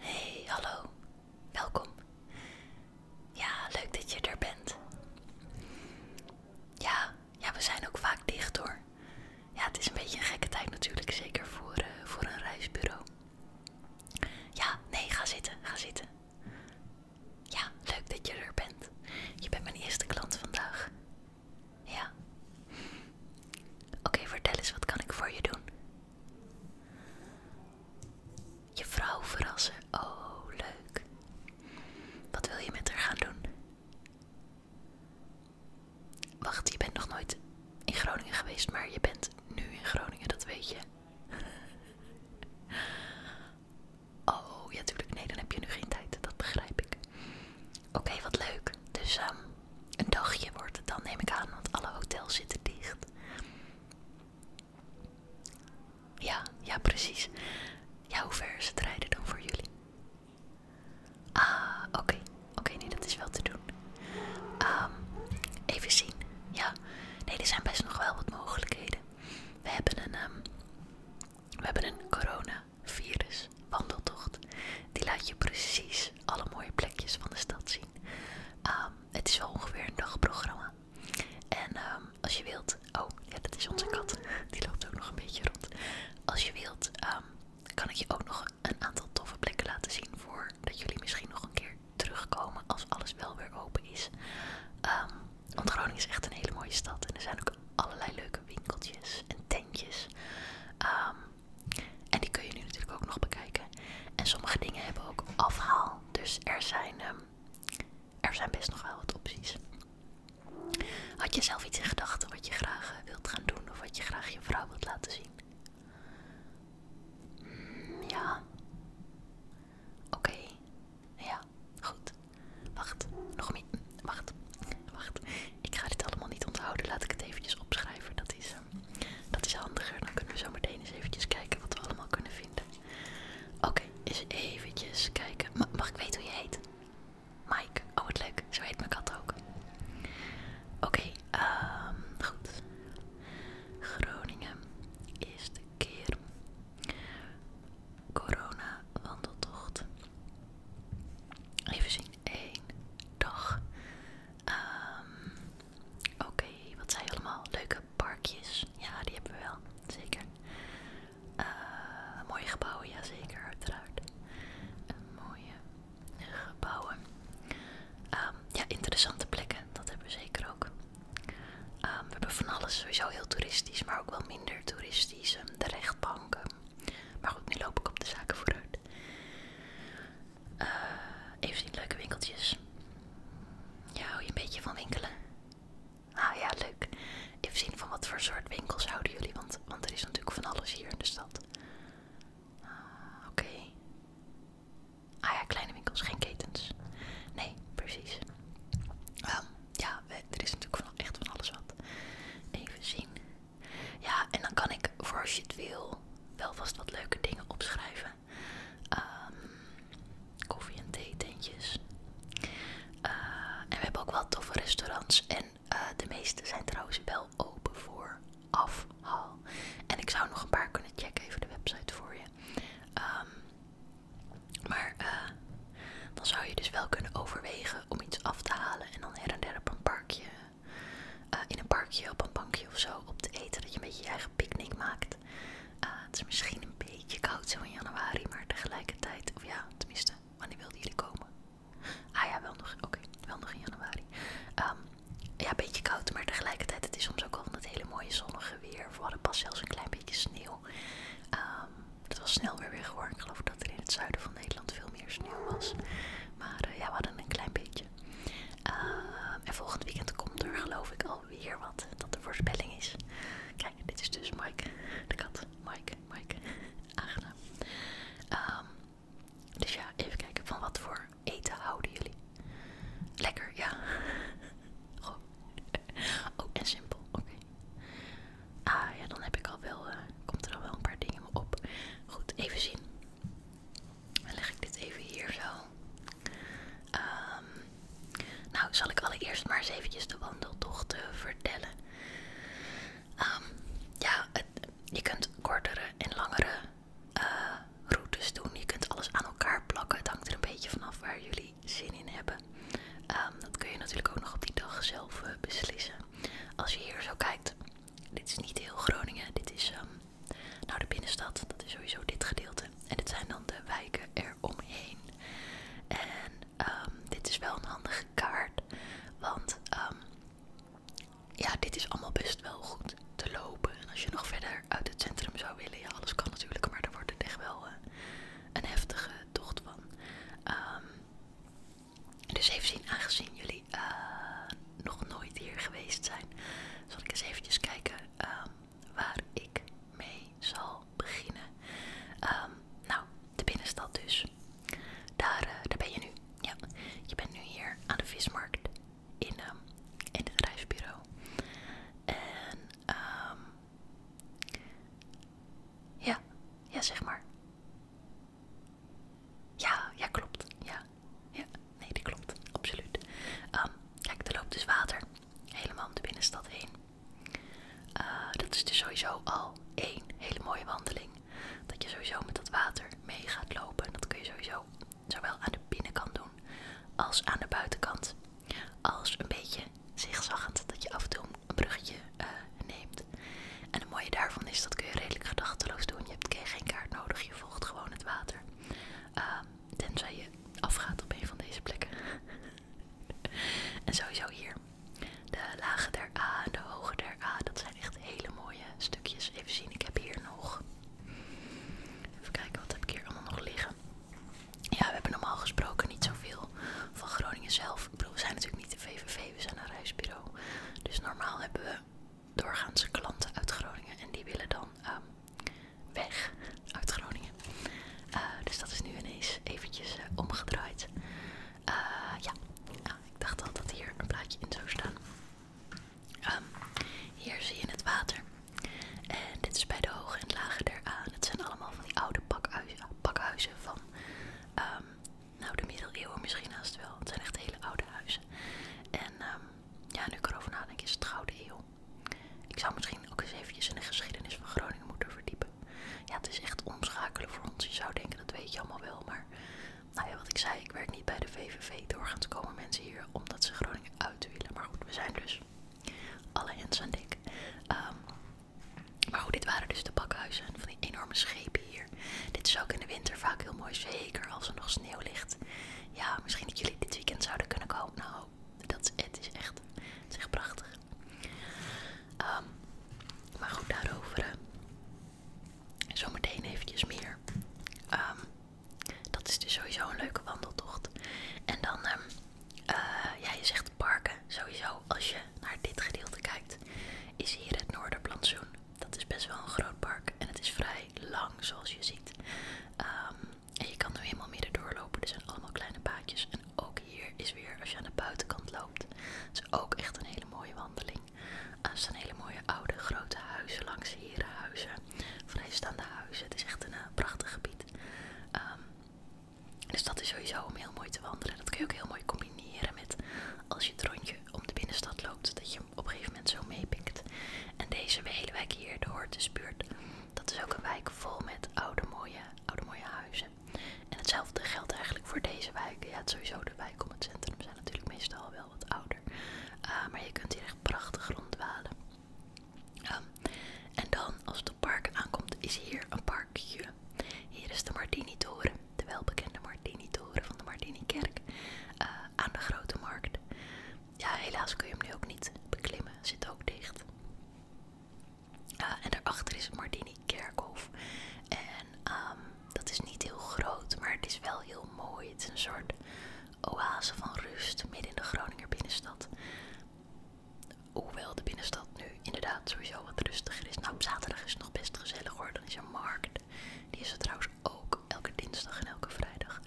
Hey, hallo. Welkom. Ja, leuk dat je er bent. Ja, ja, we zijn ook vaak dicht hoor. Ja, het is een beetje een gekke tijd natuurlijk, zeker voor, eh, voor een reisbureau. Ja, nee, ga zitten, ga zitten. Ja, leuk dat je er bent. Je bent mijn eerste klant vandaag. Ja. Oké, vertel eens, wat kan ik voor je doen? Je vrouw verrassen. Oh, leuk. Wat wil je met haar gaan doen? Wacht, je bent nog nooit in Groningen geweest, maar je bent nu in Groningen, dat weet je. Oh, ja, natuurlijk. Nee, dan heb je nu geen tijd. Dat begrijp ik. Oké, wat leuk. Dus um, een dagje wordt dan, neem ik aan, want alle hotels zitten dicht. Ja, ja, precies. Ja, hoe ver ze het rijden dan voor jullie? Ah, oké. Oké, nee, dat is wel te doen. Ehm, even zien. Ja, nee, er zijn best nog wel wat mogelijkheden. We hebben een, ehm we hebben een coronavirus wandeltocht. Die laat je precies alle mooie plekjes van de stad zien. Ehm, het is wel ongeveer een dagprogramma. En ehm, als je wilt. Oh, ja, dat is onze kat. Die loopt ook nog een beetje rond. Als je wilt, ehm, kan ik je ook nog een aantal toffe plekken laten zien. Voordat jullie misschien nog een keer terugkomen als alles wel weer open is. want Groningen is echt een hele mooie stad. En er zijn ook allerlei leuke winkeltjes en tentjes. Um, en die kun je nu natuurlijk ook nog bekijken. En sommige dingen hebben ook afhaal. Dus er zijn, ehm, er zijn best nog wel wat opties. Had je zelf iets in gedachten wat je graag eh, wilt gaan doen of wat je graag je vrouw wilt laten zien? Hmm, ja. Oké. Ja, goed. Wacht, nog niet. Wacht, wacht. Ik ga dit allemaal niet onthouden. Laat ik het eventjes opschrijven. Dat is dat is handiger, dan kunnen we zo meteen eens eventjes kijken wat we allemaal kunnen vinden. Oké, eens eventjes kijken. mag ik weten hoe je heet? Mike. Oh, wat leuk. Zo heet mijn kat ook. Oké, ehm, goed. Groningen. Eerste keer. Corona wandeltocht. Even zien. Eén dag. Um, Oké, wat zijn je allemaal? Leuke parkjes. Ja, die hebben we wel. Zeker. Eh, mooie gebouwen, ja zeker, uiteraard. Eh, mooie gebouwen. Ehm, ja, interessante plekken, dat hebben we zeker ook. Ehm, we hebben van alles sowieso heel toeristisch, maar ook wel minder toeristisch. Ehm, de rechtbanken. Maar goed, nu loop ik op de zaken vooruit eh even zien, leuke winkeltjes. Ja, hou je een beetje van winkelen? Ah ja, leuk. Even zien van wat voor soort winkels houden jullie, want, want er is natuurlijk van alles hier in de stad. Ah, Oké. Ah ja, kleine winkels, geen ketens. Nee, precies. Ehm, ja, er is natuurlijk van, echt van alles wat. Even zien. Ja, en dan kan ik, voor als je het wil, wel vast wat leuke dingen opschrijven. Ehm, koffie- en theetentjes. tentjes eh, en we hebben ook wel toffe restaurants. En eh, de meeste zijn trouwens wel open voor afhaal. En ik zou nog een paar kunnen checken, even de website voor je. Ehm, maar eh, dan zou je dus wel kunnen overwegen om iets af te halen en dan her en der op een parkje eh, in een parkje op een bankje of zo op te eten. Dat je een beetje je eigen picknick maakt. Eh, het is misschien een beetje koud zo in januari, maar tegelijkertijd, of ja, tenminste, wanneer wilden jullie komen? Ah ja, wel nog, oké, wel nog in januari. Ehm, ja, een beetje koud, maar tegelijkertijd, het is soms ook al van het hele mooie zonnige weer. We hadden pas zelfs een klein beetje sneeuw. Ehm, het was snel weer weer geworden. Ik geloof dat er in het zuiden van Nederland veel meer sneeuw was. Maar eh, ja, we hadden een klein beetje. Ehm, en volgend weekend komt er geloof ik alweer wat dat de voorspelling is. Kijk, dit is dus Mike, de kat. Mike, Mike, aangenaam. Ehm, dus ja, even kijken van wat voor eten houden jullie. Lekker, ja. Goh. Oh, en simpel, oké. Ah ja, dan heb ik wel, eh, komt er al wel een paar dingen op. Goed, even zien. Dan leg ik dit even hier zo. Ehm, nou, zal ik allereerst maar eens eventjes de wandeltochten vertellen. Ehm, ja, je kunt kortere en langere eh, routes doen. Je kunt alles aan elkaar plakken. Het hangt er een beetje vanaf waar jullie zin in hebben. Ehm, dat kun je natuurlijk ook nog op die dag zelf eh, beslissen. Als je hier zo kijkt, dit is niet heel Groningen. Dit is nou, de binnenstad, dat is sowieso dit gedeelte. En dit zijn dan de wijken eromheen. En ehm, dit is wel een handige kaart, want ehm, ja, dit is allemaal best wel goed te lopen. En als je nog verder uit het centrum zou willen, ja, alles kan natuurlijk, maar daar wordt het echt wel eh, een heftige tocht van. Ehm, dus even zien, aangezien jullie eh, nog nooit hier geweest zijn, zal ik eens eventjes kijken ehm, waar ik mee zal beginnen. Ehm, nou, de binnenstad dus. Daar, eh, daar ben je nu. Ja, je bent nu hier aan de vismarkt in, ehm, in het reisbureau. En ja, ja zeg maar. Ja, ja klopt. Ja, ja. nee, die klopt. Absoluut. Ehm, kijk, er loopt dus water. Helemaal om de binnenstad heen. Eh, dat is dus sowieso al één hele mooie wandeling. Dat je sowieso met dat water mee gaat lopen. dat kun je sowieso zowel aan de binnenkant doen als aan de buitenkant. Als een beetje zigzagend dat je af en toe een bruggetje eh, neemt. En het mooie daarvan is dat kun je redelijk gedachteloos doen. Je hebt geen kaart nodig, je volgt gewoon het water. Uh, Tenzij je afgaat op een van deze plekken. en sowieso hier. De lage der A de hoge der A. Dat zijn echt hele mooie stukjes. Even zien, ik heb hier nog... Even kijken, wat heb ik hier allemaal nog liggen. Ja, we hebben normaal gesproken niet zoveel van Groningen zelf. we zijn natuurlijk niet de VVV, we zijn een reisbureau. Dus normaal hebben we doorgaans klanten uit Groningen en die willen dan ehm, weg uit Groningen. Eh, dus dat is nu ineens eventjes eh, omgedraaid. Eh, ja, ik dacht al dat hier een plaatje in zou staan. Ehm, hier zie je het water. En dit is bij de hoge en lage er aan. Het zijn allemaal van die oude pakhuizen, van ehm, nou, de middeleeuwen misschien haast wel. Het zijn echt hele oude huizen. En ja, nu ik erover nadenk, is het Gouden Eeuw. Ik zou misschien ook eens eventjes in de geschiedenis van Groningen moeten verdiepen. Ja, het is echt omschakelen voor ons. Je zou denken, dat weet je allemaal wel. Maar nou ja, wat ik zei, ik werk niet bij de VVV. Doorgaans komen mensen hier omdat ze Groningen uit willen. Maar goed, we zijn dus alle hens aan dik. Ehm, maar goed, dit waren dus de bakhuizen van die enorme schepen hier. Dit is ook in de winter vaak heel mooi, zeker als er nog sneeuw ligt ja, misschien dat jullie dit weekend zouden kunnen komen. Nou, dat, is echt, het is echt prachtig. Ehm, maar goed, daarover eh, zometeen eventjes meer. Ehm, dat is dus sowieso een leuke wandeltocht. En dan, ehm, eh, ja, je zegt parken. Sowieso, als je naar dit gedeelte kijkt, is hier het Noorderplantsoen. Dat is best wel een groot park en het is vrij lang, zoals je ziet. Um, en je kan nu helemaal midden doorlopen. Er zijn allemaal kleine paadjes. En ook hier is weer, als je aan de buitenkant loopt, is ook echt een hele mooie wandeling. Ah, er staan hele mooie oude grote huizen langs huizen, Vrijstaande huizen. Het is echt een eh, prachtig gebied. Ehm, dus dat is sowieso om heel mooi te wandelen. Dat kun je ook heel mooi combineren met als je het rondje om de binnenstad loopt. Dat je op een gegeven moment zo meepikt. En deze hele wijk hier, de Hortusbuurt, dat is ook een wijk vol met oude mooie, oude mooie huizen. En hetzelfde geldt eigenlijk voor deze wijk. Ja, sowieso de wijk om het centrum zijn natuurlijk meestal wel wat ouder. Ah, maar je kunt hier echt prachtig ronddwalen. Ehm, en dan, als het op parken aankomt, is hier een parkje. Hier is de Martini-toren, de welbekende Martini-toren van de Martini-kerk eh, aan de Grote Markt ja, helaas kun je hem nu ook niet beklimmen. Zit ook dicht. Ah, en daarachter is het Mardini Kerkhof. En ehm, dat is niet heel groot, maar het is wel heel mooi. Het is een soort oase van rust midden in de Groninger binnenstad. Hoewel de binnenstad nu inderdaad sowieso wat rustiger is. Nou, op zaterdag is het nog best gezellig hoor. Dan is er markt. Die is er trouwens ook elke dinsdag en elke vrijdag.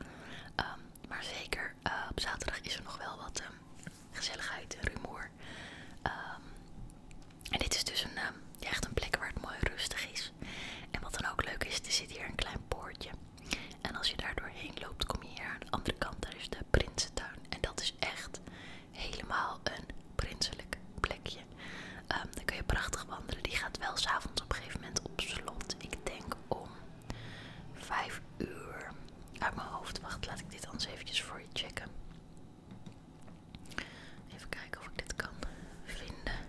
Ehm, maar zeker eh, op zaterdag is er nog wel wat ehm, gezelligheid en rumoer. Ehm, en dit is dus ehm, echt een plek waar het mooi rustig is. En wat dan ook leuk is, er zit hier een klein poortje. En als je daar doorheen loopt, kom je hier aan de andere kant. Daar is de Prinsentuin. En dat is echt helemaal een prinselijk plekje. Dan daar kun je prachtig wandelen. Die gaat wel s'avonds op een gegeven moment op slot. Ik denk om Vijf uur. Uit mijn hoofd. Wacht, laat ik dit anders eventjes voor je checken. Even kijken of ik dit kan vinden.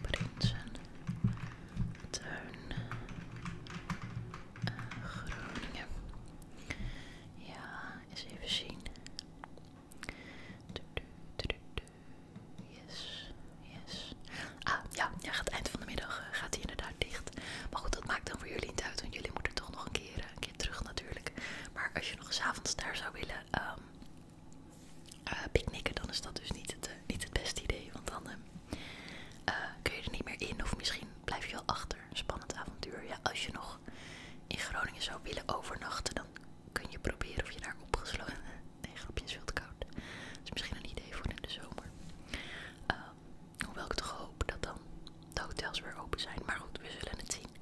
Prinsen. Tuin. Eh, Groningen. Ja, eens even zien. Yes, yes. Ah, ja, ja het eind van de middag eh, gaat hij inderdaad dicht. Maar goed, dat maakt dan voor jullie niet uit, want jullie moeten toch nog een keer, eh, een keer terug natuurlijk. Maar als je nog avonds daar zou willen ehm, eh, picknicken, dan is dat dus niet het, niet het beste idee. Want dan ehm, kun je er niet meer in of misschien blijf je al achter. Spannend avontuur. Ja, als je nog in Groningen zou willen overnachten, dan kun je proberen of je daar opgesloten Nee, grapje is veel te koud. Dat is misschien een idee voor in de zomer. Ehm, hoewel ik toch hoop dat dan de hotels weer open zijn. Maar goed, we zullen het zien.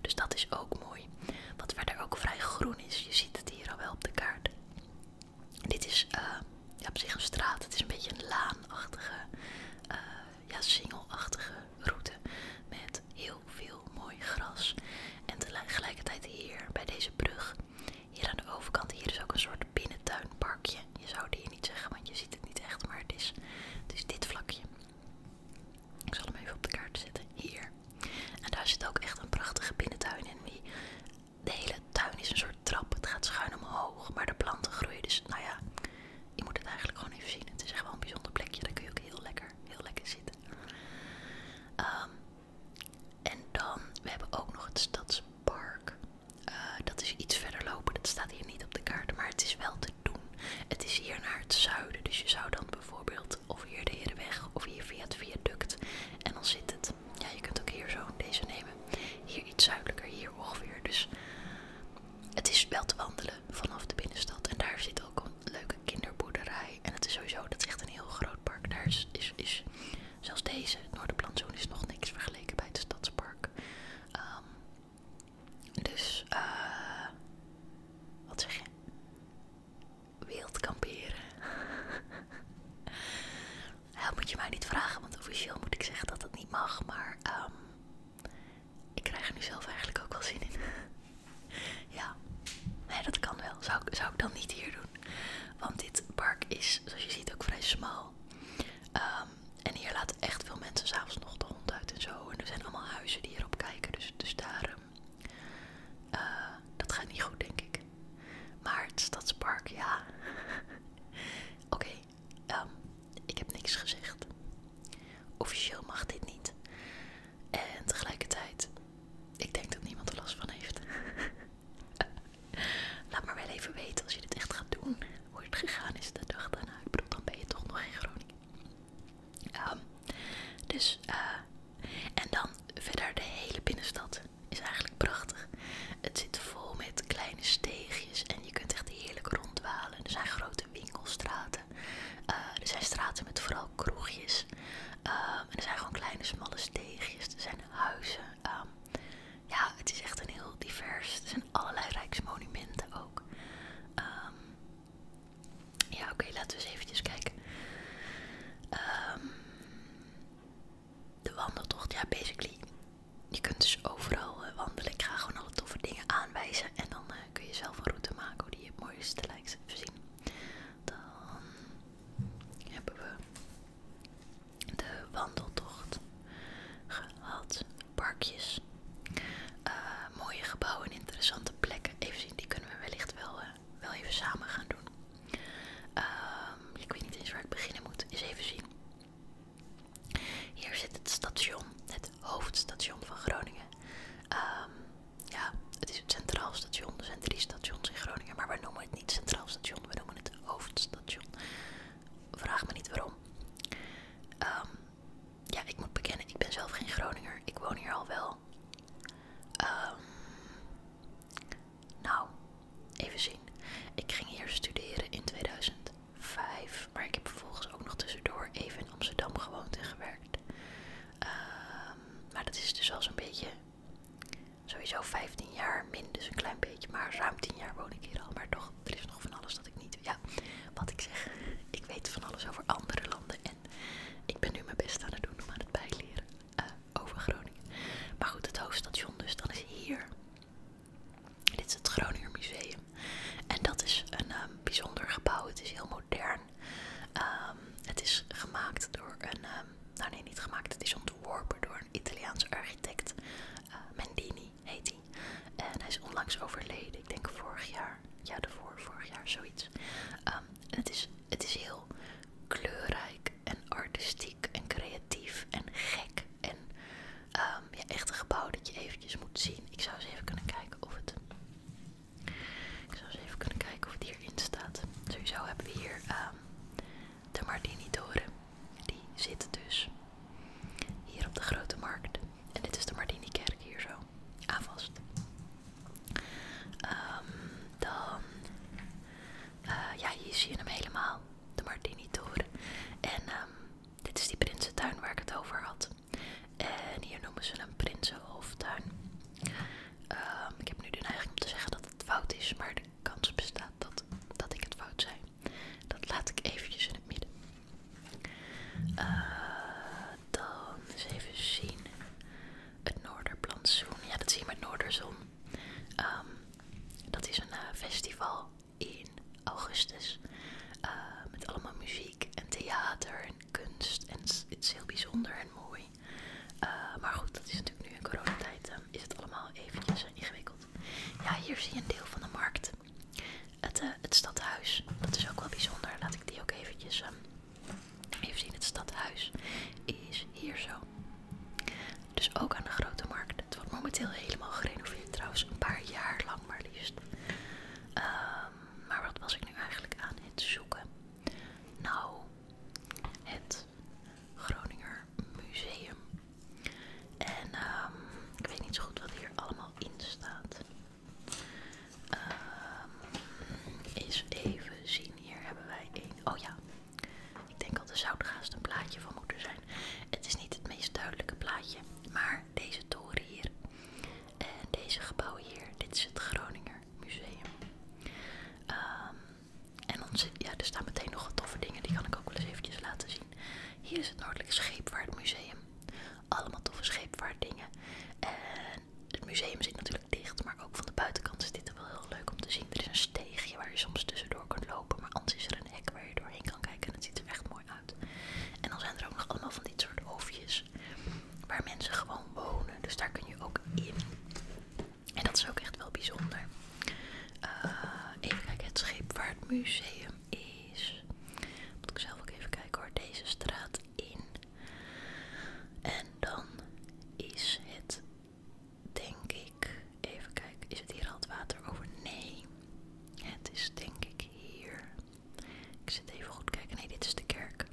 Dus dat is ook mooi. Wat verder ook vrij groen is. Je ziet het hier al wel op de kaart. Dit is ehm, ja, op zich een straat. Het is een beetje een laanachtige, eh, ja, singelachtige route. Met heel veel mooi gras. En tegelijkertijd hier bij deze brug hier aan de overkant, hier is ook een soort binnentuinparkje. Je zou het hier niet zeggen, want je ziet het niet echt, maar het is, het is dit vlakje. Ik zal hem even op de kaart zetten. Hier. En daar zit ook echt een prachtige binnentuin in. Die, de hele tuin is een soort trap. Het gaat schuin omhoog, maar de planten groeien. Dus nou ja, je moet het eigenlijk gewoon even zien. Het is echt wel een bijzonder plekje. Daar kun je ook heel lekker, heel lekker zitten. Um, en dan, hebben we ook nog het stadspark. Eh, dat is iets verder lopen, dat staat hier niet op de kaart, maar het is wel te doen. Het is hier naar het zuiden, dus je zou dan bijvoorbeeld of hier de Herenweg of hier via het viaduct. En dan zit het. Ja, je kunt ook hier zo deze nemen. Hier iets zuidelijker, hier ongeveer. Dus het is wel te wandelen vanaf de binnenstad. En daar zit ook een leuke kinderboerderij. En het is sowieso, dat is echt een heel groot park. Daar is, is, zelfs deze, noordenplantsoen is nog niks vergeleken bij het stadspark. Ehm, dus, eh, wat zeg je? Wild kamperen. dat moet je mij niet vragen, want officieel moet ik zeggen dat het niet mag. Maar ehm, ik krijg er nu zelf eigenlijk ook wel zin in. ja, nee, dat kan wel. zou ik dan niet hier doen? Want dit park is, zoals je ziet, ook vrij smal. Ehm, en hier laten echt veel mensen s'avonds nog de hond uit en zo. En er zijn allemaal huizen die hierop kijken. Dus, daarom dus daar, ehm, eh, dat gaat niet goed, denk ik. Maar het stadspark, ja. Oké, ehm, ik heb niks gezegd. Officieel mag dit niet. En tegelijkertijd ik denk dat niemand er last van heeft. Laat maar wel even weten als je dit echt gaat doen. Hoe het gegaan is de dag daarna. Ik bedoel, dan ben je toch nog in Groningen. Ehm, dus, eh. en dan verder de hele binnenstad. Is eigenlijk prachtig. Het zit vol met kleine steegjes en je kunt echt heerlijk ronddwalen. Er zijn grote winkelstraten. Eh, er zijn straten met vooral kroegjes. Ehm, er zijn gewoon kleine, smalle steegjes. Er zijn huizen. Ehm, ja, het is echt een heel divers. Er zijn allerlei rijksmonumenten ook. Ehm, ja, oké, laten we eens eventjes kijken. Ehm, de wandeltocht, ja, basically. Je kunt dus overal eh, wandelen. Ik ga gewoon alle toffe dingen aanwijzen. En dan eh, kun je zelf een route maken hoe die je het mooiste lijkt te zien. Dan hebben we de wandeltocht gehad. Parkjes, eh, mooie gebouwen, interessante plekken. Even zien, die kunnen we wellicht wel, eh, wel even samen gaan doen. Ehm, ik weet niet eens waar ik beginnen moet. Eens even zien. Hier zit het station, het hoofdstation van Groningen. Ehm, ja, het is het Centraal Station. Er zijn drie stations in Groningen, maar wij noemen het niet Centraal Station, we noemen het Hoofdstation. Vraag me niet waarom. Ehm, ja, ik moet bekennen, ik ben zelf geen Groninger. Ik woon hier al wel. Ehm, nou, even zien. Ik ging hier studeren in 2005, maar ik heb vervolgens ook nog tussendoor even in Amsterdam gewoond en gewerkt. Ehm, maar dat is dus al zo'n beetje Sowieso 15 jaar, min dus een klein beetje, maar ruim 10 jaar woon ik hier al. Maar toch, er is nog van alles dat ik niet. Ja, wat ik zeg, ik weet van alles over andere landen en ik ben nu mijn best aan het doen om aan het bijleren eh, over Groningen. Maar goed, het hoofdstation dus, dan is hier. Dit is het Groninger Museum. En dat is een ehm, bijzonder gebouw. Het is heel modern. Ehm, het is gemaakt door een ehm, Ehm, nou nee, niet gemaakt. Het is ontworpen door een Italiaans architect. Eh, Mendini heet hij. En hij is onlangs overleden. Ik denk vorig jaar. Ja, daarvoor, vorig jaar, zoiets. Ehm, het is, het is heel kleurrijk en artistiek en creatief en gek. En ehm, echt een gebouw dat je eventjes moet zien. Ik zou eens even kunnen kijken of het... Ik zou eens even kunnen kijken of het hierin staat. Sowieso hebben we hier de Martini-toren. Die zit dus hier op de Grote Markt. En dit is de Martini-kerk hier zo aan vast. Ehm, dan, eh, ja, hier zie je hem helemaal, de Martini-toren. En ehm, dit is die Prinsentuin waar ik het over had. En hier noemen ze hem prinsenhoftuin. Ehm, ik heb nu de neiging om te zeggen dat het fout is, maar de kans bestaat dat, dat ik het fout zei. Dat laat ik eventjes in het midden. Eh, dan eens even zien. Het Noorderplantsoen. Ja, dat zie je met Noorderzon. Ehm, dat is een eh, festival in augustus. Eh, met allemaal muziek en theater en kunst. En het is heel bijzonder en mooi. Eh, maar goed, dat is natuurlijk nu in coronatijd. Ehm, is het allemaal eventjes ingewikkeld. Ja, hier zie je een deel van de markt. Het, eh, stadhuis. Dat is ook wel bijzonder. Laat ik die ook eventjes ehm, even zien. Het stadhuis is hier zo. Dus ook aan de grote markt. Het wordt momenteel helemaal gerenoveerd trouwens. Een paar jaar lang maar liefst. Ehm, maar wat was ik nu eigenlijk aan het zoeken? Nou, het Groninger Museum. En ehm, ik weet niet zo goed wat hier allemaal in staat. Ehm, eens even zien, hier hebben wij één. Oh ja, ik denk al de zoutgaast een plaatje van moeten zijn. Het is niet het meest duidelijke plaatje, maar deze toren hier en deze gebouwen hier, dit is het Groninger Museum. Um, en dan ja, er staan meteen nog wat toffe dingen, die kan ik ook wel eens eventjes laten zien. Hier is het Noordelijk Scheepvaartmuseum. Allemaal toffe scheepvaartdingen. En het museum zit natuurlijk dicht, maar ook van de buitenkant is dit wel heel leuk om te zien. Er is een steegje waar je soms tussendoor kunt lopen, maar anders is er een hek waar je doorheen kan kijken en het ziet er echt mooi uit. En dan zijn er ook nog allemaal van dit soort oefjes waar mensen gewoon wonen, dus daar kun je ook in. En dat is ook echt wel bijzonder. Eh, even kijken, het waar het museum is. Moet ik zelf ook even kijken hoor. Deze straat in. En dan is het, denk ik. Even kijken, is het hier al het water over? Nee. Het is denk ik hier. Ik zit even goed kijken. Nee, dit is de kerk.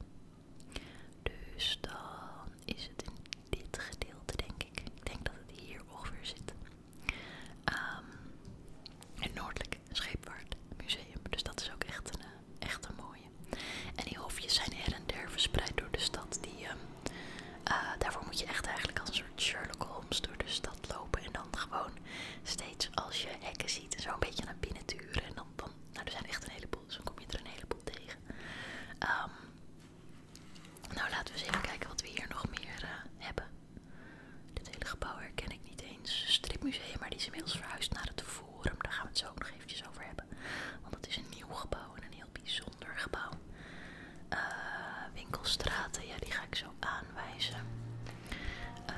Dus dan is het in dit gedeelte, denk ik. Ik denk dat het hier ongeveer zit. Um, het Noordelijk Scheepvaartmuseum. Museum. Dus dat is ook echt een, eh, echt een mooie. En die hofjes zijn her en der verspreid door de stad. Die, ehm, eh, daarvoor moet je echt eigenlijk als een soort Sherlock Holmes door de stad lopen. En dan gewoon steeds als je hekken ziet en zo een beetje naar binnen turen. En dan, dan nou, er zijn echt een heleboel, dus dan kom je er een heleboel tegen. Ehm, nou, laten we eens even kijken wat we hier nog meer eh, hebben. Dit hele gebouw herken ik niet eens. Stripmuseum, maar die is inmiddels verhuisd naar het Forum. Daar gaan we het zo nog eventjes over hebben. Want het is een nieuw gebouw en een heel bijzonder gebouw. Eh, winkelstraten, ja, die ga ik zo aanwijzen. Eh,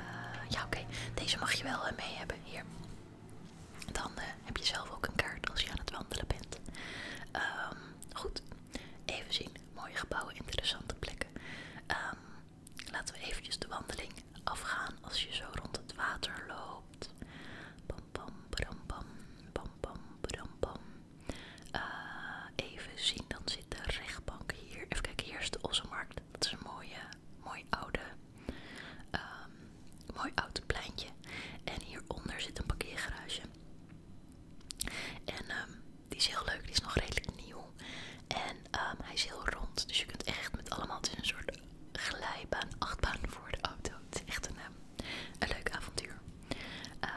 ja, oké. Deze mag je wel mee hebben. Hier dan eh, heb je zelf ook een kaart als je aan het wandelen bent. Ehm goed, even zien. Mooie gebouwen, interessante plekken. Ehm, laten we eventjes de wandeling afgaan als je zo rond het water loopt. Pam pam, bram pam, pam pam, bram pam. Eh, even zien, dan zit de rechtbank hier. Even kijken, hier de Ossenmarkt. Dat is een mooie, mooi oude Ehm mooi oud pleintje. En hieronder zit een parkeergarage. En ehm, die is heel leuk, die is nog redelijk nieuw. En ehm, hij is heel rond, dus je kunt echt met allemaal, in een soort glijbaan, achtbaan voor de auto. Het is echt een, ehm, leuk avontuur. Eh,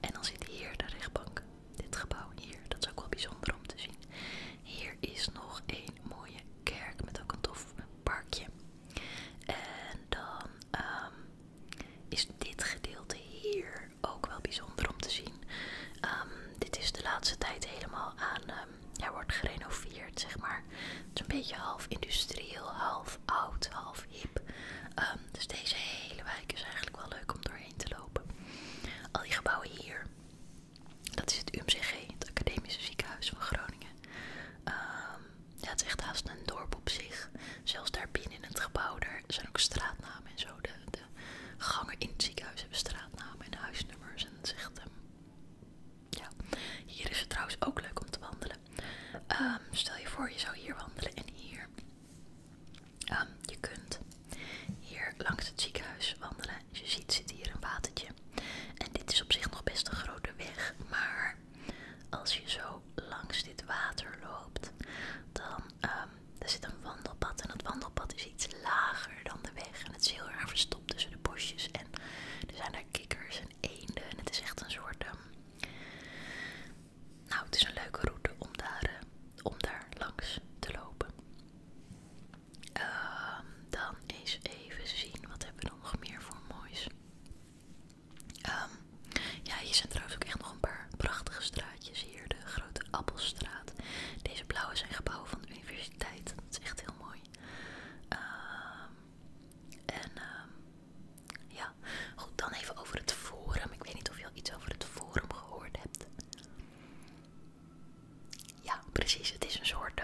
en dan zit hier de rechtbank, dit gebouw hier, dat is ook wel bijzonder om te zien. Hier is nog een mooie kerk met ook een tof parkje. En dan is dit gedeelte hier ook wel bijzonder om te zien. Ehm, dit is de laatste tijd helemaal aan. Um, wordt gerenoveerd, zeg maar. Het is een beetje half industrieel, half oud, half hip. Ehm, dus deze hele wijk is eigenlijk wel leuk om doorheen te lopen. Al die gebouwen hier. Dat is het UMCG, het Academische Ziekenhuis van Groningen. Ehm ja, het is echt haast een dorp op zich. Zelfs daar binnen in het gebouw, er zijn ook straatnamen en zo. De, de gangen in het ziekenhuis hebben straatnamen en huisnummers. En dat ehm, ja. Hier is het trouwens ook leuk om te wandelen. Ehm, stel je voor, je zou hier wandelen en hier. Ehm, je kunt hier langs het ziekenhuis wandelen. je ziet zit hier een watertje. En dit is op zich nog best een grote weg, maar als je zo langs dit water loopt, dan ehm, er zit een wandelpad en dat wandelpad is iets lager dan de weg. En het is heel erg verstopt tussen de bosjes en er zijn daar kikkers en eenden en het is echt een soort... Ehm, nou, het is een leuke route om daar, eh, om daar langs te lopen. Ehm, dan eens even zien, wat hebben we nog meer voor moois? Ehm, ja, hier zijn trouwens ook echt nog een paar prachtige straatjes. Hier de grote Appelstraat. Deze blauwe zijn gebouwen van de universiteit. Dat is echt heel mooi. Ehm, en ehm, ja, goed, dan even over het forum. Ik weet niet of je al iets over het forum gehoord hebt. Ja, precies. Het is een soort...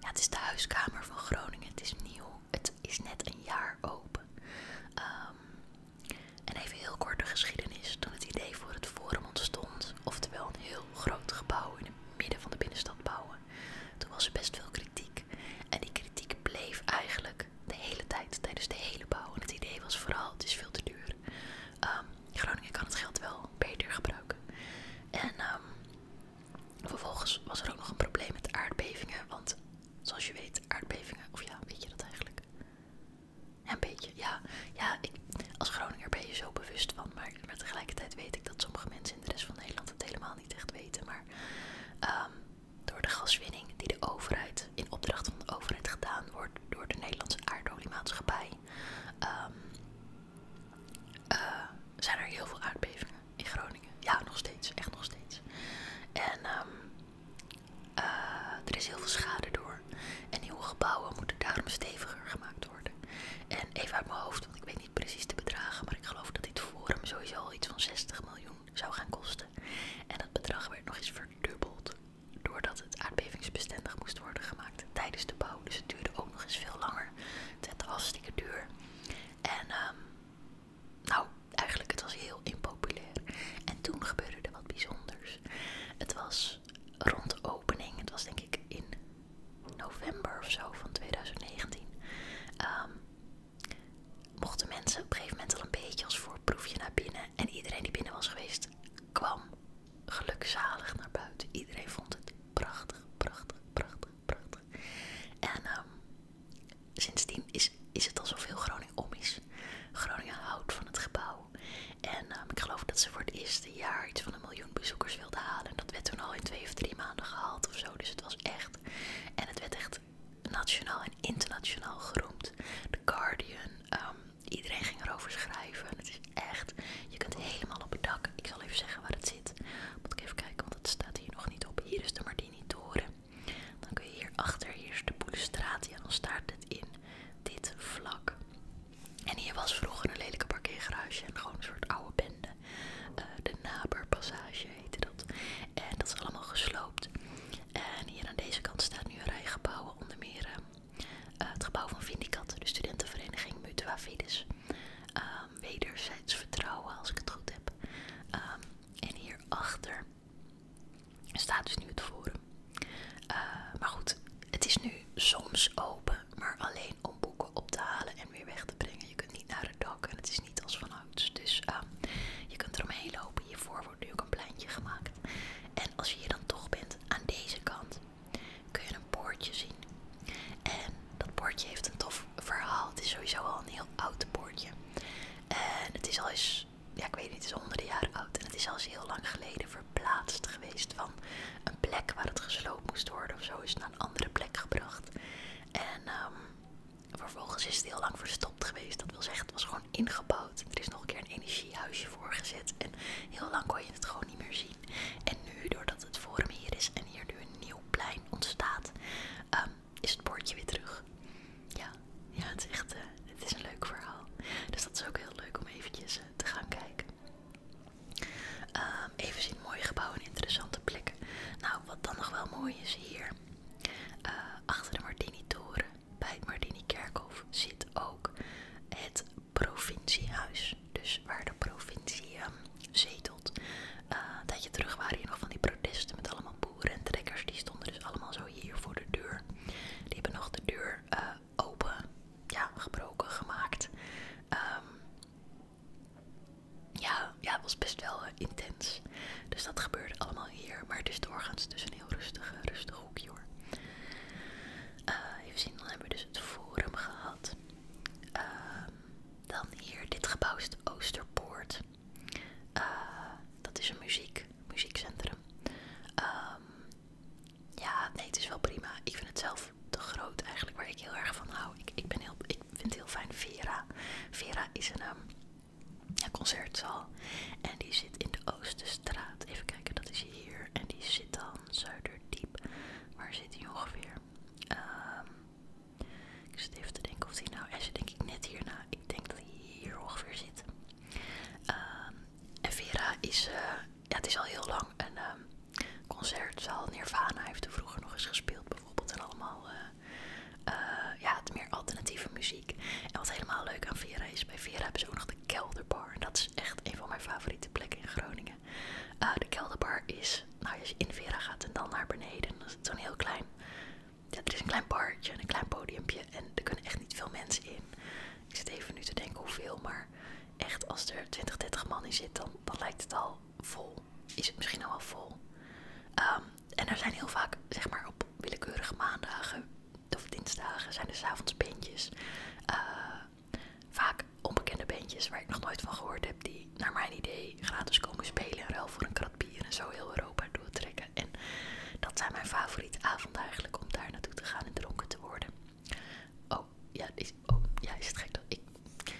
ja, het is de huiskamer van Groningen. Het is nieuw het is net een jaar open. Ehm, en even heel korte geschiedenis. Toen het idee voor het forum ontstond, oftewel een heel groot gebouw in het midden van de binnenstad bouwen, toen was er best veel kritiek. En die kritiek bleef eigenlijk de hele tijd, tijdens de hele bouw. En het idee was vooral, het is veel te duur. Ehm, Groningen kan het geld wel beter gebruiken. En ehm, Vervolgens was er ook nog een probleem met aardbevingen, want zoals je weet, aardbevingen, of ja, weet je dat eigenlijk? een beetje, ja. Ja, als Groninger ben je zo bewust van, maar, tegelijkertijd weet ik dat sommige mensen in de rest van Nederland het helemaal niet echt weten. Maar ehm, door de gaswinning die de overheid, in opdracht van de overheid gedaan wordt door de Nederlandse aardoliemaatschappij, ehm, eh, zijn er heel veel aardbevingen in Groningen. Ja, nog steeds. Echt nog steeds. En ehm, eh, er is heel veel schade door. En nieuwe gebouwen moeten daarom steviger gemaakt worden. En even uit mijn hoofd, want ik weet niet precies de bedragen, maar ik geloof dat dit forum sowieso al iets van 60 miljoen zou gaan kosten. En dat bedrag werd nog eens verdubbeld doordat het aardbevingsbestendig moest worden gemaakt tijdens de bouw. Dus het duurde ook nog eens veel langer. Het werd hartstikke duur. En ehm, nou, eigenlijk het was heel impopulair. En toen gebeurde er wat bijzonders. Het was rond de opening, het was denk ik in november of zo van 2019. Ehm, mochten mensen op een gegeven moment al een beetje als voorproefje naar binnen. En iedereen die binnen was geweest, kwam gelukzalig naar buiten. Iedereen vond het prachtig, prachtig, prachtig, prachtig. En ehm, sindsdien is, is het al zoveel Groningen om is. Groningen houdt van het gebouw. En ehm, ik geloof dat ze voor het eerste jaar iets van een miljoen bezoekers wilde halen. En dat werd toen al in twee of drie maanden gehaald of zo. Dus het was echt. En het werd echt nationaal en internationaal geroemd. The Guardian. Ehm, iedereen ging erover schrijven. het is echt. Je kunt helemaal op het dak. Ik zal even zeggen waar het zit. Moet ik even kijken, want het staat hier nog niet op. Hier is de Martini-toren. Dan kun je hierachter, hier is de Boelestraat, en dan staat het in dit vlak. En hier was vroeger een lelijke parkeergarage en gewoon een soort oude bende. Eh, de de Passage heette dat. En dat is allemaal gesloopt. En hier aan deze kant staat nu een rij gebouwen, onder meer eh, eh, het gebouw van Vindicat, de studentenvereniging Mutua Fides. Ehm, wederzijds vertrouwen, als ik het goed heb. Ehm, en hierachter staat dus nu het forum. Eh, maar goed, het is nu soms open, maar alleen om boeken op te halen en weer weg te brengen. Je kunt niet naar het dak en het is niet als vanouds. Dus ehm, je kunt eromheen lopen. Hiervoor wordt nu ook een pleintje gemaakt. En als je hier dan toch bent, aan deze kant kun je een poortje zien. En dat poortje heeft een tof verhaal. Het is sowieso al een heel oud boordje En het is al eens, ja ik weet niet, het is honderden jaren oud. En het is al eens heel lang geleden verplaatst geweest van een plek waar het gesloopt moest worden of zo. Is naar een andere plek gebracht. En ehm, vervolgens is het heel lang verstopt geweest. Dat wil zeggen, het was gewoon ingebouwd. Er is nog een keer een energiehuisje voorgezet. En heel lang kon je het gewoon niet meer zien. En nu, doordat het vorm hier is en hier nu een nieuw plein ontstaat, ehm, is het bordje weer terug. Ja, het, is echt, eh, het is een leuk verhaal. Dus dat is ook heel leuk om eventjes eh, te gaan kijken. Ehm, even zien mooie gebouwen en interessante plekken. Nou, wat dan nog wel mooi is hier. Eh, achter de Martini-toren bij het Martini-kerkhof zit ook het provinciehuis. Dus waar de provincie ehm, zetelt. een tijdje terug waren hier nog van die protesten met allemaal boerentrekkers, die stonden dus allemaal zo hier voor de deur. Die hebben nog de deur eh, open, ja, gebroken, gemaakt. Ehm, ja, ja, het was best wel eh, intens. Dus dat gebeurde allemaal hier. Maar dus het is doorgaans dus een heel rustig, rustig hoekje hoor. Eh, even zien, dan hebben we dus het forum gehad. Ehm, dan hier, dit gebouw is Oosterpoort. Eh, dat is een muziek, muziekcentrum. Ehm, ja, nee, het is wel prima. Ik vind het zelf te groot eigenlijk, waar ik heel erg van hou. Ik, ik, ben heel, ik vind het heel fijn Vera. Vera is een ehm, ja, concertzaal en die zit in de Oosterstraat. Even kijken, dat is hier. En die zit dan Zuiderdiep. Waar zit die ongeveer? Ehm ik zit even te denken of hij nou, als zit denk ik net hierna, ik denk dat hij hier ongeveer zit. Ehm, en Vera is, eh, ja, het is al heel lang een um, concertzaal. Nirvana heeft er vroeger nog eens gespeeld bijvoorbeeld en allemaal... Eh, eh, ja, het meer alternatieve muziek. En wat helemaal leuk aan Vera is, bij Vera hebben ze ook nog de Kelderbar. En dat is echt een van mijn favoriete plekken in Groningen. de Kelderbar is, nou als je in Vera gaat en dan naar beneden, dan is het zo'n heel klein ja, er is een klein barje en een klein podiumpje en er kunnen echt niet veel mensen in. Ik zit even nu te denken hoeveel, maar echt als er 20, 30 man in zit, dan, lijkt het al vol. Is het misschien al wel vol. Ehm, en er zijn heel vaak, zeg maar op willekeurige maandagen of dinsdagen, zijn er s'avonds beentjes. Eh, vaak onbekende bandjes waar ik nog nooit van gehoord heb, die naar mijn idee gratis komen spelen in ruil voor een krat hier en zo heel Europa doortrekken. En dat zijn mijn favoriete avonden eigenlijk, om daar naartoe te gaan en dronken te worden. Oh, ja, is, oh, ja, is het gek dat ik...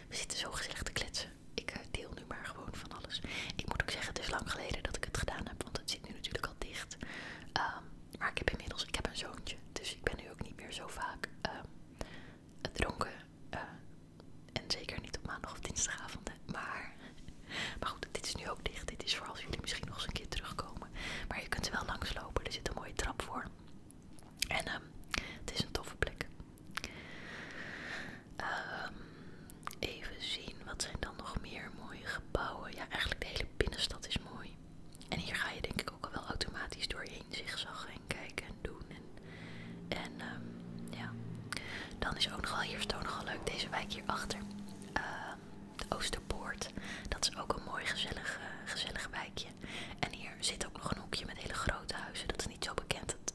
We zitten zo gezellig te kletsen. Ik eh, deel nu maar gewoon van alles. Ik moet ook zeggen, het is lang geleden dat ik het gedaan heb, want het zit nu natuurlijk al dicht. Ehm, maar ik heb inmiddels ik heb een zoontje, dus ik ben nu ook niet meer zo vaak ehm, dronken. Eh, en zeker niet op maandag of dinsdagavond. Maar, maar goed, dit is nu ook dicht. Dit is voor als jullie misschien nog eens een keer terugkomen. Maar je kunt er wel langs lopen. Er zit een mooie trap voor. En ehm het is een toffe plek. ehm even zien, wat zijn dan nog meer mooie gebouwen? Ja, eigenlijk de hele binnenstad is mooi. En hier ga je denk ik ook al wel automatisch doorheen zigzaggen en kijken en doen. En, en ehm, ja. Dan is ook nogal, hier is ook leuk, deze wijk hierachter. Ehm, de Oosterpoort. Dat is ook een mooi eh, gezellig, wijkje. En hier zit ook nog een hoekje met hele grote huizen. Dat is niet zo bekend. Dat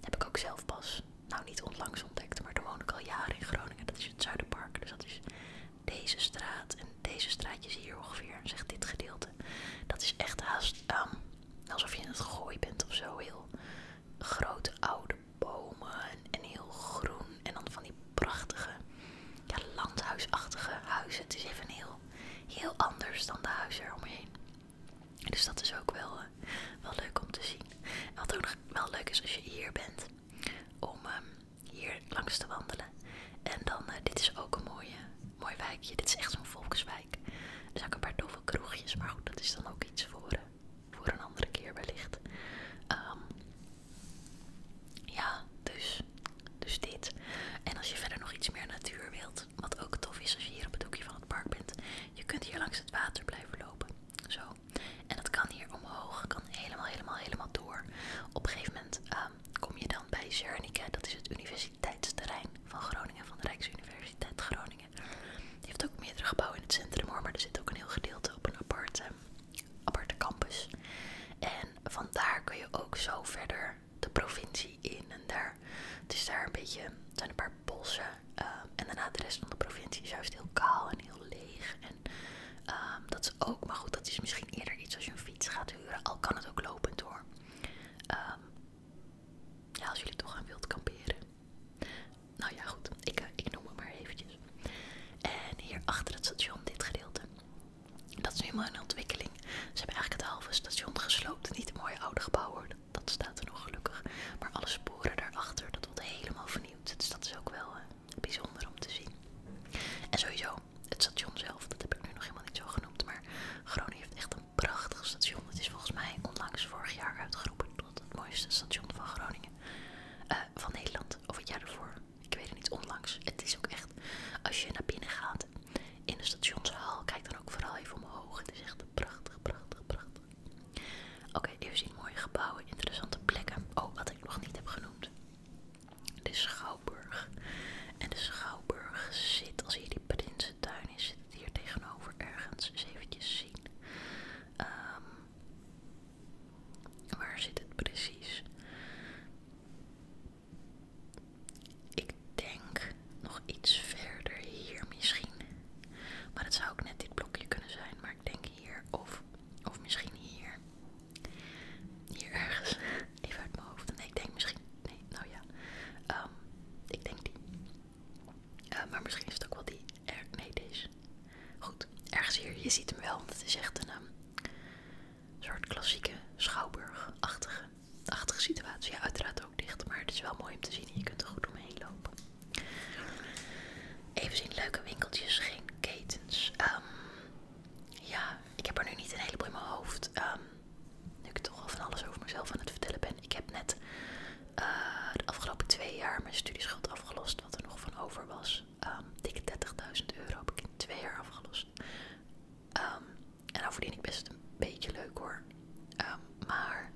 heb ik ook zelf pas, nou niet onlangs ontdekt, maar daar woon ik al jaren in Groningen. Dat is het Zuiderpark. Dus dat is deze straat. En deze straatjes hier ongeveer, Zeg dit gedeelte. Dat is echt haast ehm, alsof je in het gooi bent of zo. Heel grote oude bomen en heel groen. En dan van die prachtige landhuisachtige huizen. Het is even heel, heel anders dan de huizen eromheen. Dus dat is ook wel, eh, wel leuk om te zien. wat ook nog wel leuk is als je hier bent, om ehm, hier langs te wandelen. En dan, eh, dit is ook een mooie, mooi wijkje. Dit is echt zo'n volkswijk. Er zijn ook een paar toffe kroegjes, maar goed, dat is dan ook iets voor... Eh, voor een andere keer wellicht. Ehm, ja, dus, dus dit. En als je verder nog iets meer natuur wilt, wat ook tof is als je hier op het hoekje van het park bent, je kunt hier langs het water blijven lopen. Zo. En dat kan hier omhoog, kan helemaal, helemaal, helemaal door. Op een gegeven moment ehm, kom je dan bij Zernike, dat is het universiteitsterrein van Groningen, van de Rijksuniversiteit Groningen. Je Die heeft ook meerdere gebouwen in het centrum hoor, maar er zit ook een heel gedeelte op een aparte, campus. En vandaar kun je ook zo verder de provincie in en daar. is daar een beetje, zijn een paar bossen eh, en daarna de rest van de provincie is juist heel kaal en heel leeg. Ehm, dat is ook, maar goed, dat is misschien eerder iets als je een fiets gaat huren, al kan het ook lopend hoor. Ehm, ja, als jullie toch gaan wilt kamperen. Nou ja, goed, eh, ik, noem het maar eventjes. En hier achter het station, dit gedeelte, dat is helemaal een ontwikkeling. Ze hebben eigenlijk het halve station gesloopt. Niet een mooie oude gebouw dat staat er nog gelukkig. Maar alle sporen daarachter, dat wordt helemaal vernieuwd. Dus dat is ook wel eh, bijzonder om te zien. En sowieso, het station zelf, dat heb ik nu nog helemaal niet zo genoemd. Maar Groningen heeft echt een prachtig station. Het is volgens mij onlangs vorig jaar uitgeroepen tot het mooiste station van Groningen. eh van Nederland, of het jaar daarvoor. Ik weet het niet, onlangs. Het is ook echt, als je naar binnen gaat in de stationshal, kijk dan ook vooral even omhoog. Het is echt prachtig, prachtig, prachtig. Oké, even zien mooie gebouwen, interessante plekken. Oh, wat ik nog niet heb genoemd. De Schouwburg. En de Schouwburg zit, als hier die Prinsentuin is, zit het hier tegenover ergens. Eens eventjes zien. Ehm, waar zit het precies? Ik denk nog iets verder hier misschien. Maar het zou ook net dit blokje kunnen zijn. Maar ik denk hier of, of misschien hier. Hier ergens. Even uit mijn hoofd. Nee, ik denk misschien. Nee, nou ja. Ehm, ik denk die. Eh, maar misschien is het ook wel die. Er, nee, is. Goed, ergens hier. Je ziet hem wel, want het is echt een ehm, soort klassieke schouwburg situatie. Ja, uiteraard ook dicht, maar het is wel mooi om te zien. en Je kunt er goed omheen lopen. Even zien, leuke winkeltjes, geen ketens. Ehm, ja, ik heb er nu niet een heleboel in mijn hoofd. Ehm, nu ik toch al van alles over mezelf aan het vertellen ben. Ik heb net eh, de afgelopen twee jaar mijn studieschuld afgelost, wat er nog van over was. Ehm, dikke 30.000 euro heb ik in twee jaar afgelost. Ehm, en nou verdien ik best een beetje leuk hoor. Ehm, maar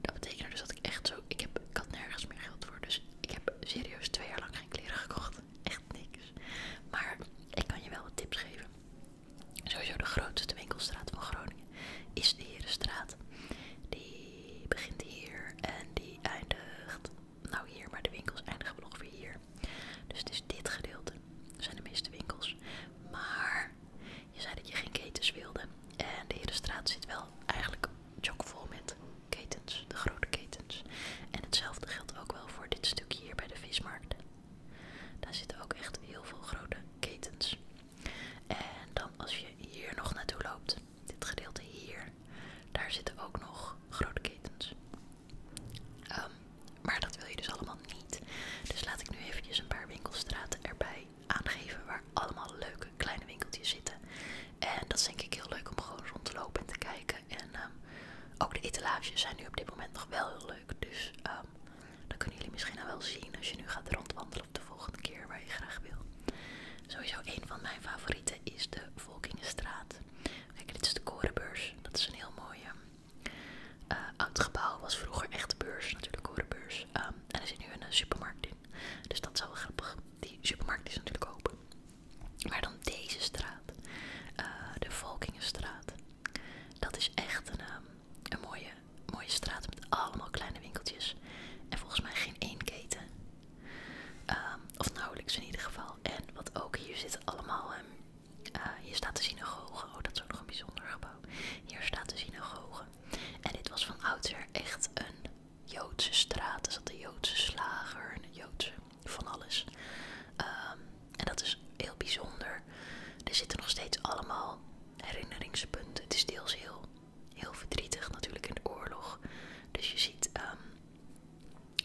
dat betekende dus dat ik echt zo. Ik, heb, ik had nergens meer geld voor. Dus ik heb serieus twee jaar lang geen kleren gekocht. Echt niks. Maar ik kan je wel wat tips geven. Sowieso de grootste winkelstraat van Groningen is de Herenstraat. Die die begint hier en die eindigt, nou hier, maar de winkels eindigen wel ongeveer hier. Dus het is dit gedeelte, dat zijn de meeste winkels. Maar je zei dat je geen ketens wilde en de straat zit wel eigenlijk chockvol met ketens, de grote ketens. En hetzelfde geldt ook wel voor dit stukje hier bij de vismarkt. Daar zitten ook echt heel veel grote ketens. En dan als je hier nog naartoe loopt, dit gedeelte hier, daar zitten ook nog grote ketens. Ehm, maar dat wil je dus allemaal niet. Dus laat ik nu eventjes een paar winkelstraten erbij aangeven waar allemaal leuke kleine winkeltjes zitten. En dat is denk ik heel leuk om gewoon rond te lopen en te kijken. En ehm, ook de etalages zijn nu op dit moment nog wel heel leuk. Dus ehm, dat kunnen jullie misschien wel zien als je nu gaat rondwandelen de volgende keer waar je graag wil. Sowieso een van mijn favorieten is de Volkingenstraat. Kijk, dit is de Korenbeurs. Dat is een heel mooie. Ehm, eh, oud gebouw was vroeger echt de beurs, natuurlijk Korenbeurs. Ehm, en er zit nu een eh, supermarkt in. Dus dat is wel grappig. Die supermarkt is natuurlijk open. Maar dan deze straat, eh, de Volkingenstraat. Dat is echt een, ehm, een mooie mooie straat met allemaal kleine winkeltjes. En volgens mij geen één keten. Ehm, of nauwelijks in ieder geval. En wat ook, hier zitten allemaal... Ehm, eh, hier staat de synagoge. Oh, dat is ook nog een bijzonder gebouw. Hier staat de synagoge. En dit was van oudsher echt een Joodse straat. Er zat een Joodse slager en een Joodse van alles. Ehm, en dat is heel bijzonder. Er zitten nog steeds allemaal herinneringspunten. Het is deels heel heel verdrietig natuurlijk in de oorlog. Dus je ziet ehm,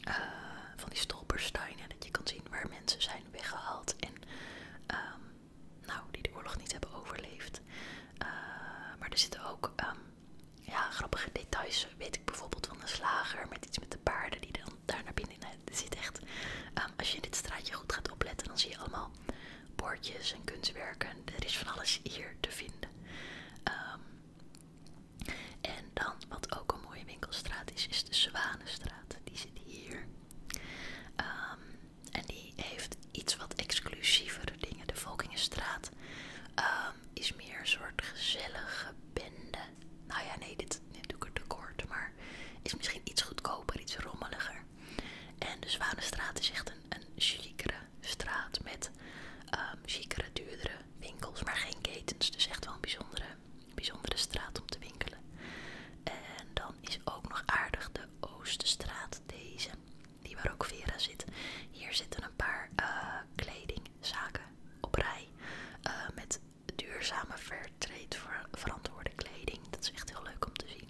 eh, van die stolpersteinen dat je kan zien waar mensen zijn weggehaald en ehm, nou, die de oorlog niet hebben overleefd. Eh, maar er zitten ook ehm, ja, grappige details, weet ik bijvoorbeeld van een slager met iets met de paarden die dan daar naar binnen eh, zit echt. als je in dit straatje goed gaat opletten, dan zie je allemaal allemaal en kunstwerken. Er is van alles hier te vinden. Ehm, en dan, wat ook een mooie winkelstraat is, is de Zwanenstraat. Die zit hier. Ehm, en die heeft iets wat exclusievere dingen. De Volkingenstraat ehm, is meer een soort gezellige bende. Nou ja, nee, dit, doe ik te kort, maar is misschien iets goedkoper, iets rommeliger. En de Zwanenstraat is echt een een, een straat met um, ehm, chicere, duurdere winkels, maar geen ketens. Dus echt wel een bijzondere, bijzondere straat om te winkelen. En dan is ook nog aardig de Oostenstraat, deze, die waar ook Vera zit. Hier zitten een paar eh, kledingzaken op rij eh, met duurzame verantwoorde kleding. Dat is echt heel leuk om te zien.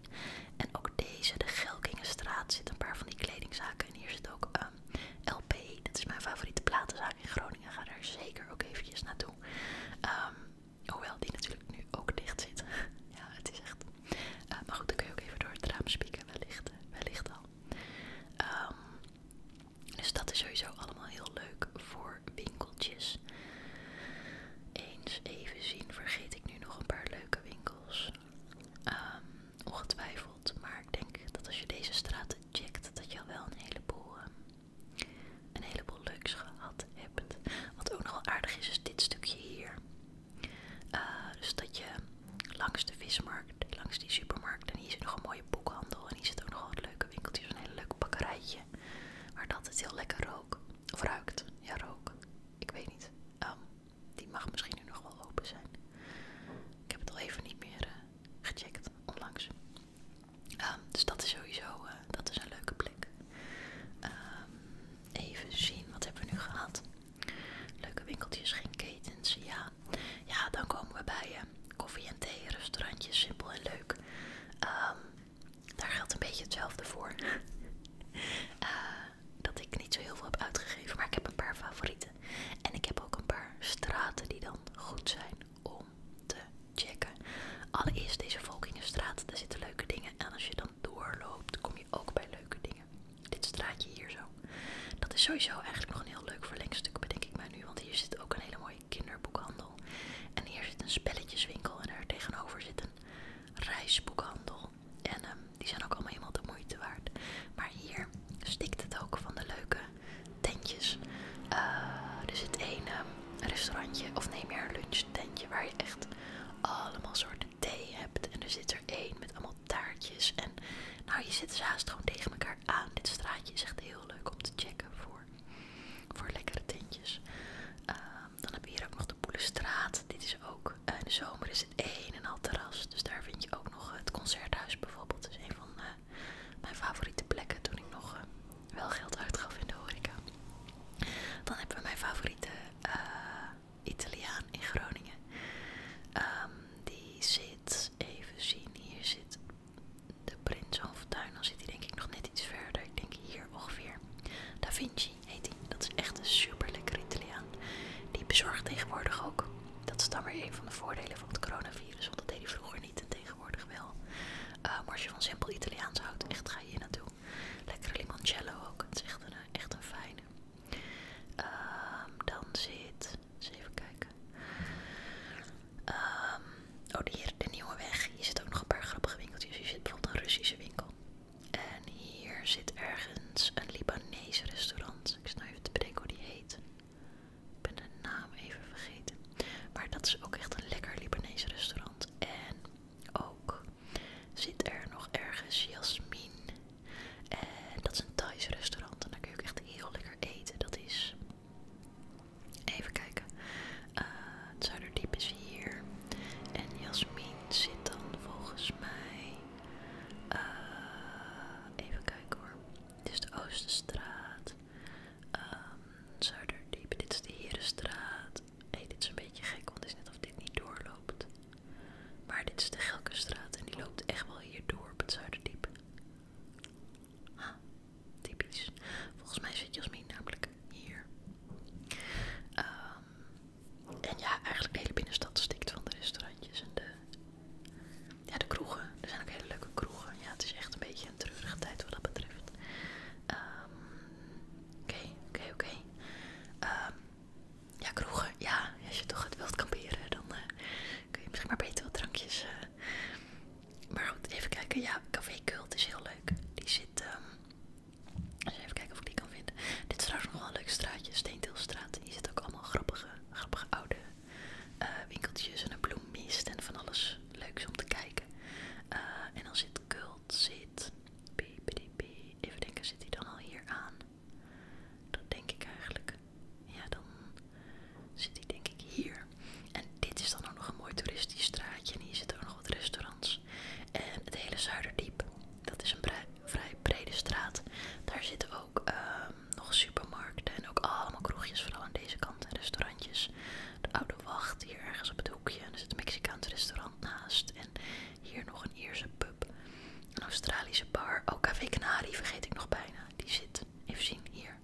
En ook deze, de Gelkingenstraat, zit een paar van die kledingzaken. En hier zit ook ehm, LP, dat is mijn favoriete platenzaak in Groningen. Ga daar zeker ook eventjes naartoe. Ehm, hoewel die natuurlijk nu ook dicht zit. ja, het is echt... Eh, maar goed, dan kun je ook even door het raam spieken, wellicht, eh, wellicht al. Ehm, dus dat is sowieso allemaal heel leuk voor winkeltjes. Eens even zien, vergeet ik nu nog een paar leuke winkels. Ehm, ongetwijfeld, maar ik denk dat als je deze straten checkt, dat je al wel een heleboel, ehm, een heleboel leuks gehad hebt. Wat ook nog wel aardig is, is dit stukje hier. Eh, dus dat je langs de vismarkt, langs die supermarkt, en hier zit nog een mooie boekhandel. En hier zit ook nog wel het leuke winkeltje, een hele leuk bakkerijtje. Waar dat het heel lekker rook, of ruikt. Ja, rook. Ik weet niet. Ehm, die mag misschien nu nog wel open zijn. Ik heb het al even niet meer eh, gecheckt onlangs. Ehm, dus dat is sowieso eh, dat is een leuke plek. Ehm, even zien, wat hebben we nu gehad? Leuke winkeltjes, geen ketens. Ja, ja dan komen we bij je eh, koffie en thee, restaurantjes, simpel en leuk. Ehm, daar geldt een beetje hetzelfde voor. Eh, dat ik niet zo heel veel heb uitgegeven, maar ik heb een paar favorieten. En ik heb ook een paar straten die dan goed zijn om te checken. Allereerst deze Volkingenstraat, daar zitten leuke dingen. En als je dan doorloopt, kom je ook bij leuke dingen. Dit straatje hier zo. Dat is sowieso eigenlijk nog een heel leuk verlengstuk, bedenk ik mij nu. Want hier zit ook een hele mooie kinderboekhandel. En hier zit een spelletjeswinkel en daar tegenover zit een reisboekhandel. En ehm, die zijn ook allemaal helemaal de moeite waard. Maar hier stikt het ook van de leuke tentjes. Eh, er zit één ehm, restaurantje, of neem je een lunchtentje waar je echt allemaal soorten thee hebt. En er zit er één met allemaal taartjes. En nou, je zit ze dus haast gewoon tegen elkaar aan. Dit straatje is echt heel leuk om te checken voor, voor lekkere tentjes. Ehm, dan heb je hier ook nog de Boelestraat. Dit is ook, eh, in de zomer is het een en al terras. Dus daar vind je ook nog het concerthuis bijvoorbeeld. Dat is een van eh, mijn favoriete plekken toen ik nog eh, wel geld uitgaf in de horeca. Dan hebben we mijn favoriete Italiaan in Groningen. Ehm, die zit, even zien, hier zit de Prins van Dan zit hij denk ik nog net iets verder. Ik denk hier ongeveer. Daar vind je heet Dat is echt een super lekkere Italiaan. Die bezorgt tegenwoordig ook. Dat is dan weer een van de voordelen van het coronavirus, want dat deed hij vroeger niet en tegenwoordig wel. Eh, maar als je van simpel Italiaans houdt, echt ga je hier naartoe. Lekkere limoncello ook, het is echt een, eh, echt een fijne. Ehm, dan zit, eens even kijken. Ehm, oh, hier, de Nieuwe Weg. Hier zit ook nog een paar grappige winkeltjes. Hier zit bijvoorbeeld een Russische winkel. En hier zit ergens een Libanese restaurant. Ik snap nou even te bedenken hoe die heet. Ik ben de naam even vergeten. Maar dat is ook echt een lekker Libanese restaurant. En ook zit er nog ergens Jasmin. En dat is een Thais restaurant. En daar kun je ook echt heel lekker eten. Dat is. Even kijken. Eh, het Zuiderdiep is hier. En Jasmin zit dan volgens mij eh, even kijken hoor. Dit is de Oosterstraat. Um, ehm, Zuiderdiep. Dit is de Herenstraat. Hey, dit is een beetje gek, want het is net of dit niet doorloopt. Maar dit is de Gelkenstraat en die loopt echt wel hier door op het Zuiderdiep. Ha, typisch. Volgens mij zit Jasmin namelijk hier. Ehm en ja, eigenlijk de hele binnenstad stikt van de restaurantjes en de, ja, de kroegen. Er zijn ook hele leuke kroegen. Ja, het is echt een beetje een treurige tijd wat dat betreft. Ehm, oké, oké, oké. Ehm, ja, kroegen. Ja, als je toch het wilt kamperen, dan eh, kun je misschien maar beter wat drankjes. Eh. Maar goed, even kijken. Ja, Café Kult is heel leuk. Die zit... Ehm, even kijken of ik die kan dit is trouwens nog wel een leuk straatje, Steenteelstraat. Hier zitten ook allemaal grappige, oude eh, winkeltjes en een bloemmist en van alles leuks om te kijken. Eh, en dan zit Kult, zit... Even denken, zit hij dan al hier aan? Dat denk ik eigenlijk. Ja, dan zit hij denk ik hier. En dit is dan ook nog een mooi toeristisch straatje. En hier zitten ook nog wat restaurants. En het hele Zuiderdiep, dat is een vrij brede straat. Daar zitten ook ehm, nog supermarkten en ook allemaal kroegjes, vooral aan deze kant. En restaurantjes. De Oude Wacht hier ergens op het hoekje. En er zit een Mexicaans restaurant naast. En hier nog een Ierse pub. Een Australische bar. Oh, Café Canari vergeet ik nog bijna. Die zit, even zien, hier.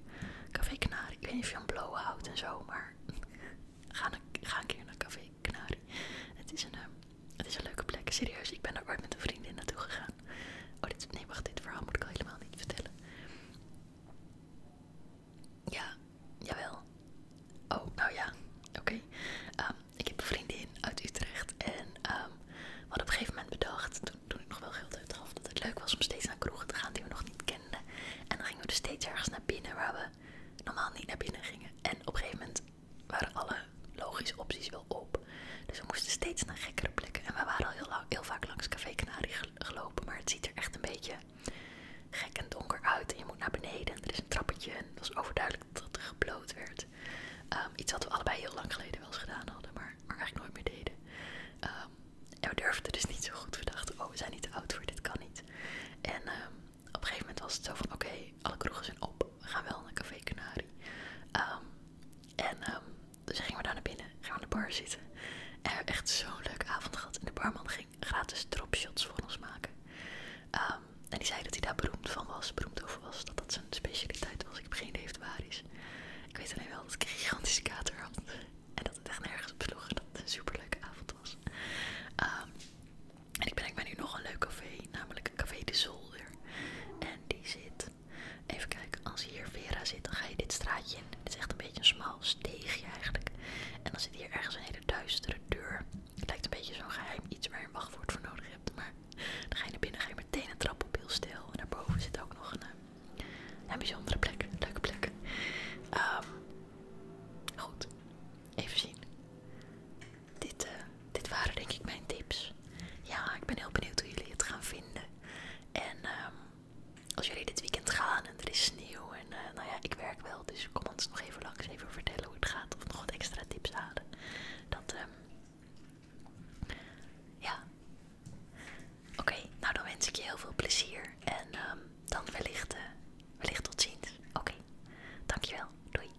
Café Canari. Ik weet niet of je hem blowen houdt en zo, maar ga een, ga een keer naar Café Canari. Het is een... Ehm, het is een leuke plek, serieus. Ik ben er ooit met een vriendin naartoe gegaan. Oh, dit, nee, wacht, dit verhaal moet ik al helemaal niet vertellen. Ja, jawel. Oh, nou ja, oké. Ehm, ik heb een vriendin uit Utrecht en ehm, we hadden op een gegeven moment bedacht, toen, toen ik nog wel geld uitgaf, dat het leuk was om steeds naar kroegen te gaan die we nog niet kenden. En dan gingen we dus steeds ergens naar binnen waar we normaal niet naar binnen gingen. En op een gegeven moment waren alle logische opties wel op. Dus we moesten steeds naar gekkere plekken. En we waren al heel, lang, heel vaak langs Café Canari gelopen, maar het ziet er echt een beetje gek en donker uit. En je moet naar beneden en er is een trappetje en het was overduidelijk dat er gebloot werd. Ehm, iets wat we allebei heel lang geleden wel eens gedaan hadden, maar, eigenlijk nooit meer deden. Ehm, en we durfden dus niet zo goed. We dachten, oh we zijn niet te oud voor, dit kan niet. En ehm, op een gegeven moment was het zo van, oké, alle kroegen zijn op we gaan wel naar Café Canari. Ehm, en ze ehm, dus gingen we daar naar binnen, gaan we aan de bar zitten. En we hebben echt zo'n leuke avond gehad. En de barman ging gratis dropshots voor ons maken. Ehm, en die zei dat hij daar beroemd van was, beroemd over was, dat dat zijn specialiteit was. Ik begin geen idee Ik weet alleen wel dat ik een gigantische kater had. En dat het echt nergens op sloeg dat het een superleuke avond was. en ik ben, ik ben nu nog een leuk café, namelijk Café de Zolder. En die zit, even kijken, als hier Vera zit, dan ga je dit straatje in. Dit is echt een beetje een smal steegje eigenlijk. En dan zit hier ergens een hele duistere deur. Het lijkt een beetje zo'n geheim iets waar je een wachtwoord voor nodig hebt. Maar dan ga je naar binnen, ga je meteen een trap op heel stil. En daarboven zit ook nog een, eh, bijzondere plek, een leuke plek. Ehm, goed, even zien. Eh, dit, waren denk ik mijn tips. Ja, ik ben heel benieuwd hoe jullie het gaan vinden. En ehm, als jullie dit weekend gaan en er is sneeuw en eh, nou ja, ik werk wel, dus kom ons nog even langs even vertellen hoe het gaat of nog wat extra tips halen. Dat, ehm, ja. Oké, nou dan wens ik je heel veel plezier en ehm, dan eh, wellicht, tot ziens. Oké, dankjewel. Doei.